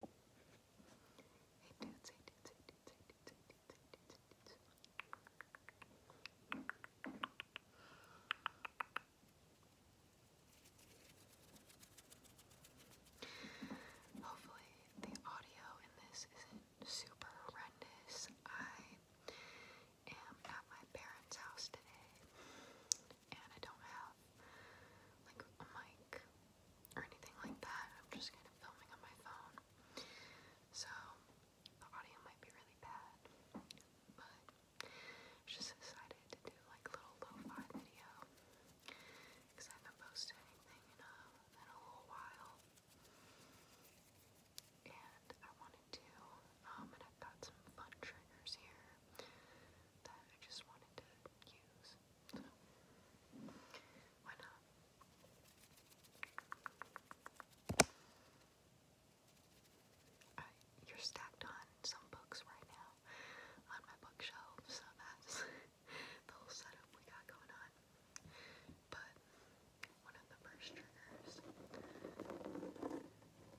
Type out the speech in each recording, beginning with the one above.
Hopefully the audio in this isn't super horrendous. I am at my parents' house today and I don't have like a mic or anything like that. I'm just kind of filming on my phone. So the audio might be really bad, but just decided to do like a little lo-fi video because I haven't posted anything in a little while. And I wanted to, um, and I've got some fun triggers here that I just wanted to use you're stacked on some books right now on my bookshelf, so that's the whole setup we got going on. But one of the first triggers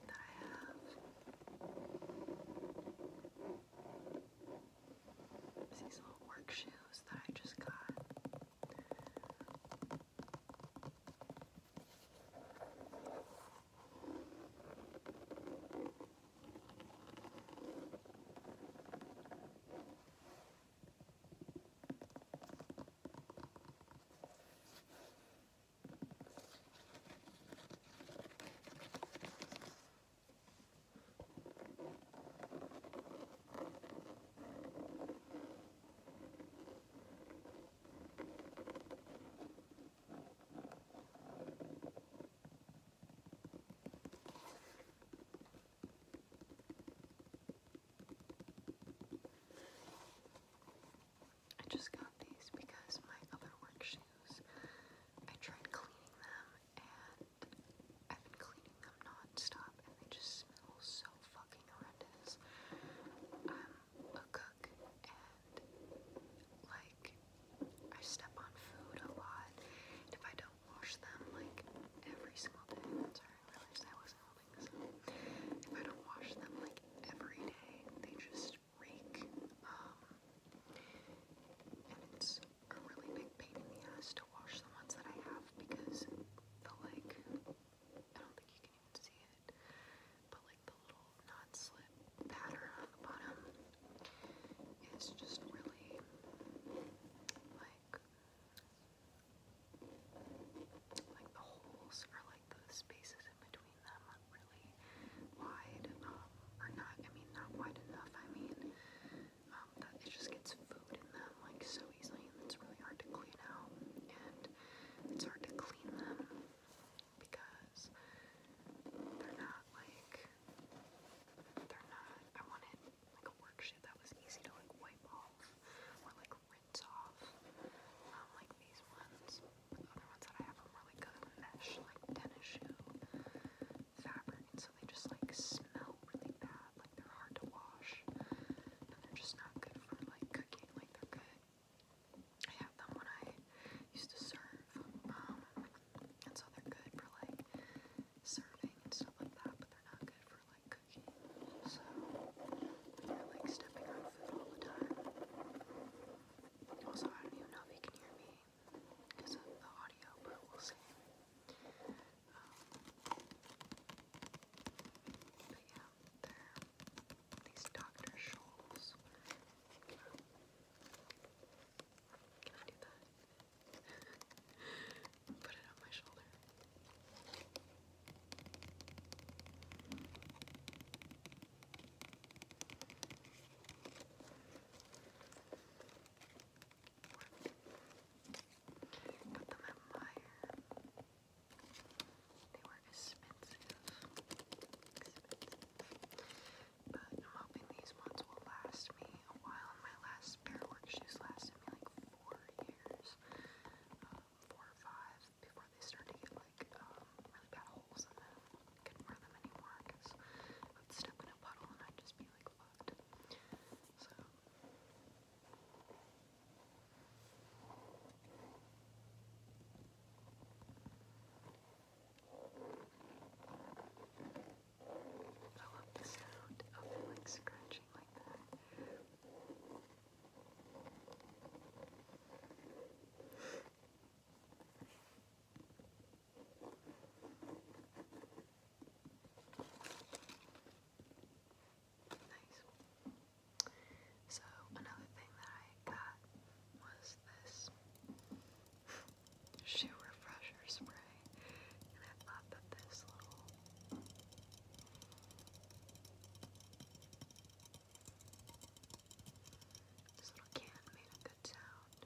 that I have it's these little work shoes that I just got. I I just got these because my other work shoes, I tried cleaning them and I've been cleaning them non and they just smell so fucking horrendous. I'm a cook and like I step on food a lot and if I don't wash them like every single day, that's I wasn't holding this up. If I don't wash them like every day, they just reek. Um, and it's a really big pain in the ass to wash the ones that I have because the like, I don't think you can even see it, but like the little non-slip pattern on the bottom is just really like, like the holes or like the spaces in between them are really wide, or not, I mean not wide enough, I mean um, that it just gets food in them like so easily it's really hard to clean out and it's hard to clean them because they're not like they're not I wanted like a worksheet that was easy to like wipe off or like rinse off um, like these ones the other ones that I have are more like mesh like tennis shoe fabric, so they just like smell really bad, like they're hard to wash, and they're just not good for like cooking, like they're good. I had them when I used to serve, um, and so they're good for like serving and stuff like that, but they're not good for like cooking. So when you're like stepping on food all the time. Also, I don't even know if you can hear me because of the audio, but we'll see. Um, but yeah, they're these Dr. Scholl's. can I do that? Put it on my shoulder. Put them in fire. They were expensive. But I'm hoping these ones will last me a while. my last pair of work shoes lasted me like four years. Um, four or five before they started to get like um, really bad holes in them. Couldn't wear them anymore because I step in a puddle I'd just be like fucked. So. I love the sound of like scratching like that. So another thing that I got was this shoe refresher spray, and I thought that this little this little can made a good sound.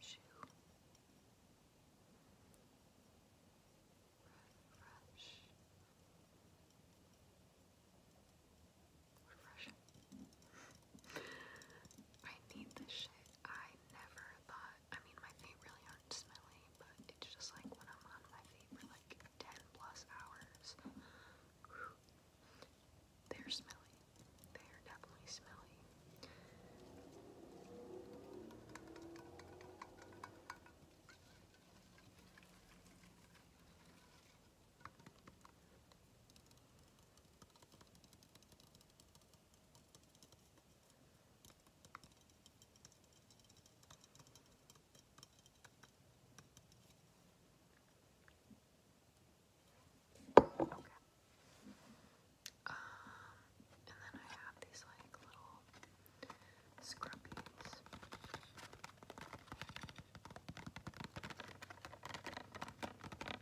Shoe. Fresh. Brush. I need this shit. I never thought, I mean, my feet really aren't smelly, but just like when I'm on my feet for like 10 plus hours, they're smelly. They're definitely smelly. Okay. Um, and then I have these like little scrubbies.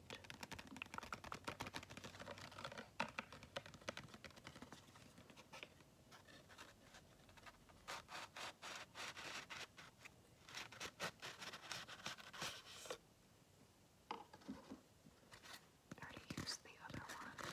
I already used the other one.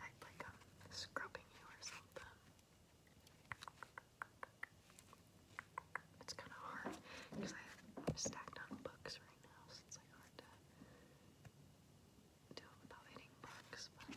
Act like I'm scrubbing you or something. It's kind of hard because I have stacked on books right now, so it's like hard to do it without hitting books. But...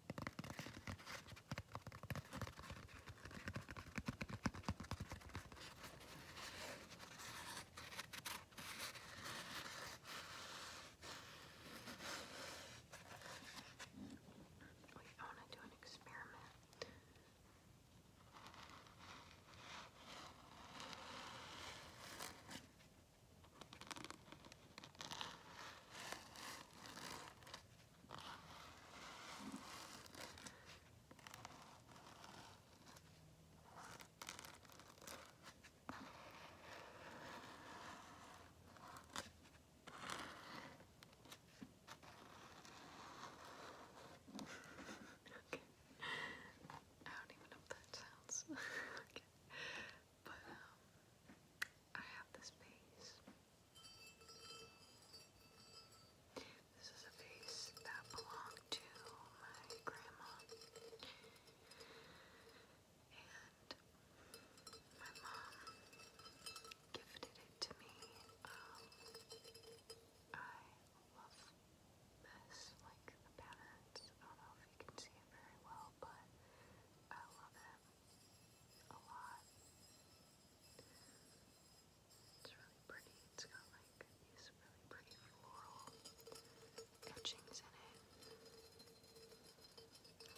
Wait, I want to do an experiment. I okay. I don't even know if that sounds okay. But um I have this base this is a vase that belonged to my grandma. And my mom gifted it to me. Um, I love this, like the patterns. I don't know if you can see it very well, but I love it a lot. It's really pretty. It's got like these really pretty floral etchings in it.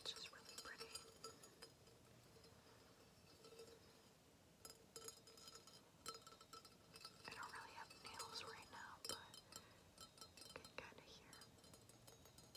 It's just really pretty. I don't really have nails right now, but you can kind of hear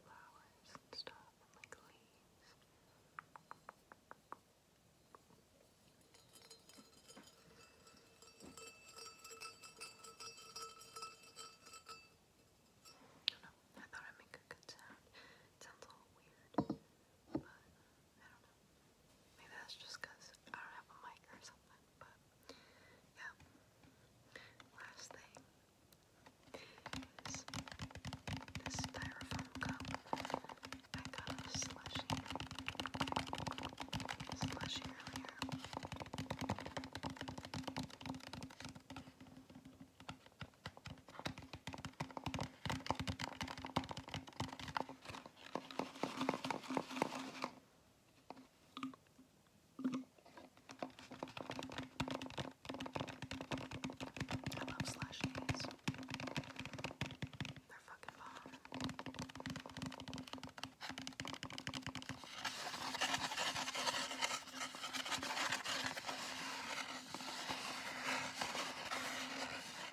flowers and stuff, and like leaves. I don't know, I thought I'd make a good sound. It sounds a little weird, but I don't know. Maybe that's just because I don't have a mic or something, but yeah. Last thing is this styrofoam cup. I got a slushy. Slushy earlier. I love slushies. They're fucking bomb. I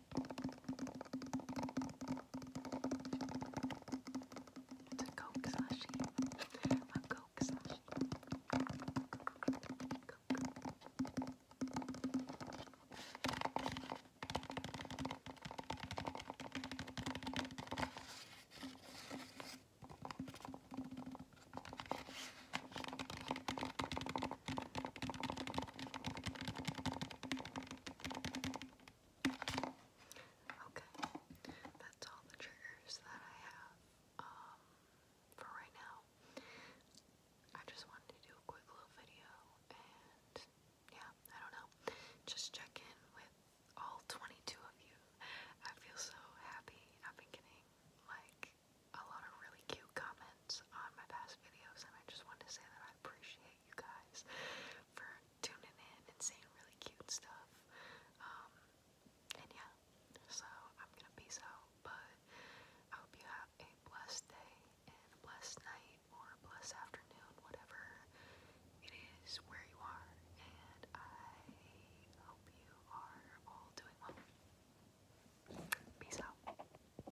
It's a Coke slushie. A Coke slushie. Coke. Okay, that's all the triggers that I have um, for right now. I just wanted to do a quick little video and yeah, I don't know, just check in with all 22 of you. I feel so happy. I've been getting like a lot of really cute comments on my past videos, and I just wanted to say that I appreciate you guys for tuning in and seeing really cute stuff. Um, and yeah, so I'm gonna peace out, but I hope you have a blessed day and blessed night or blessed afternoon, whatever it is where you are, and I hope you are all doing well. Peace out.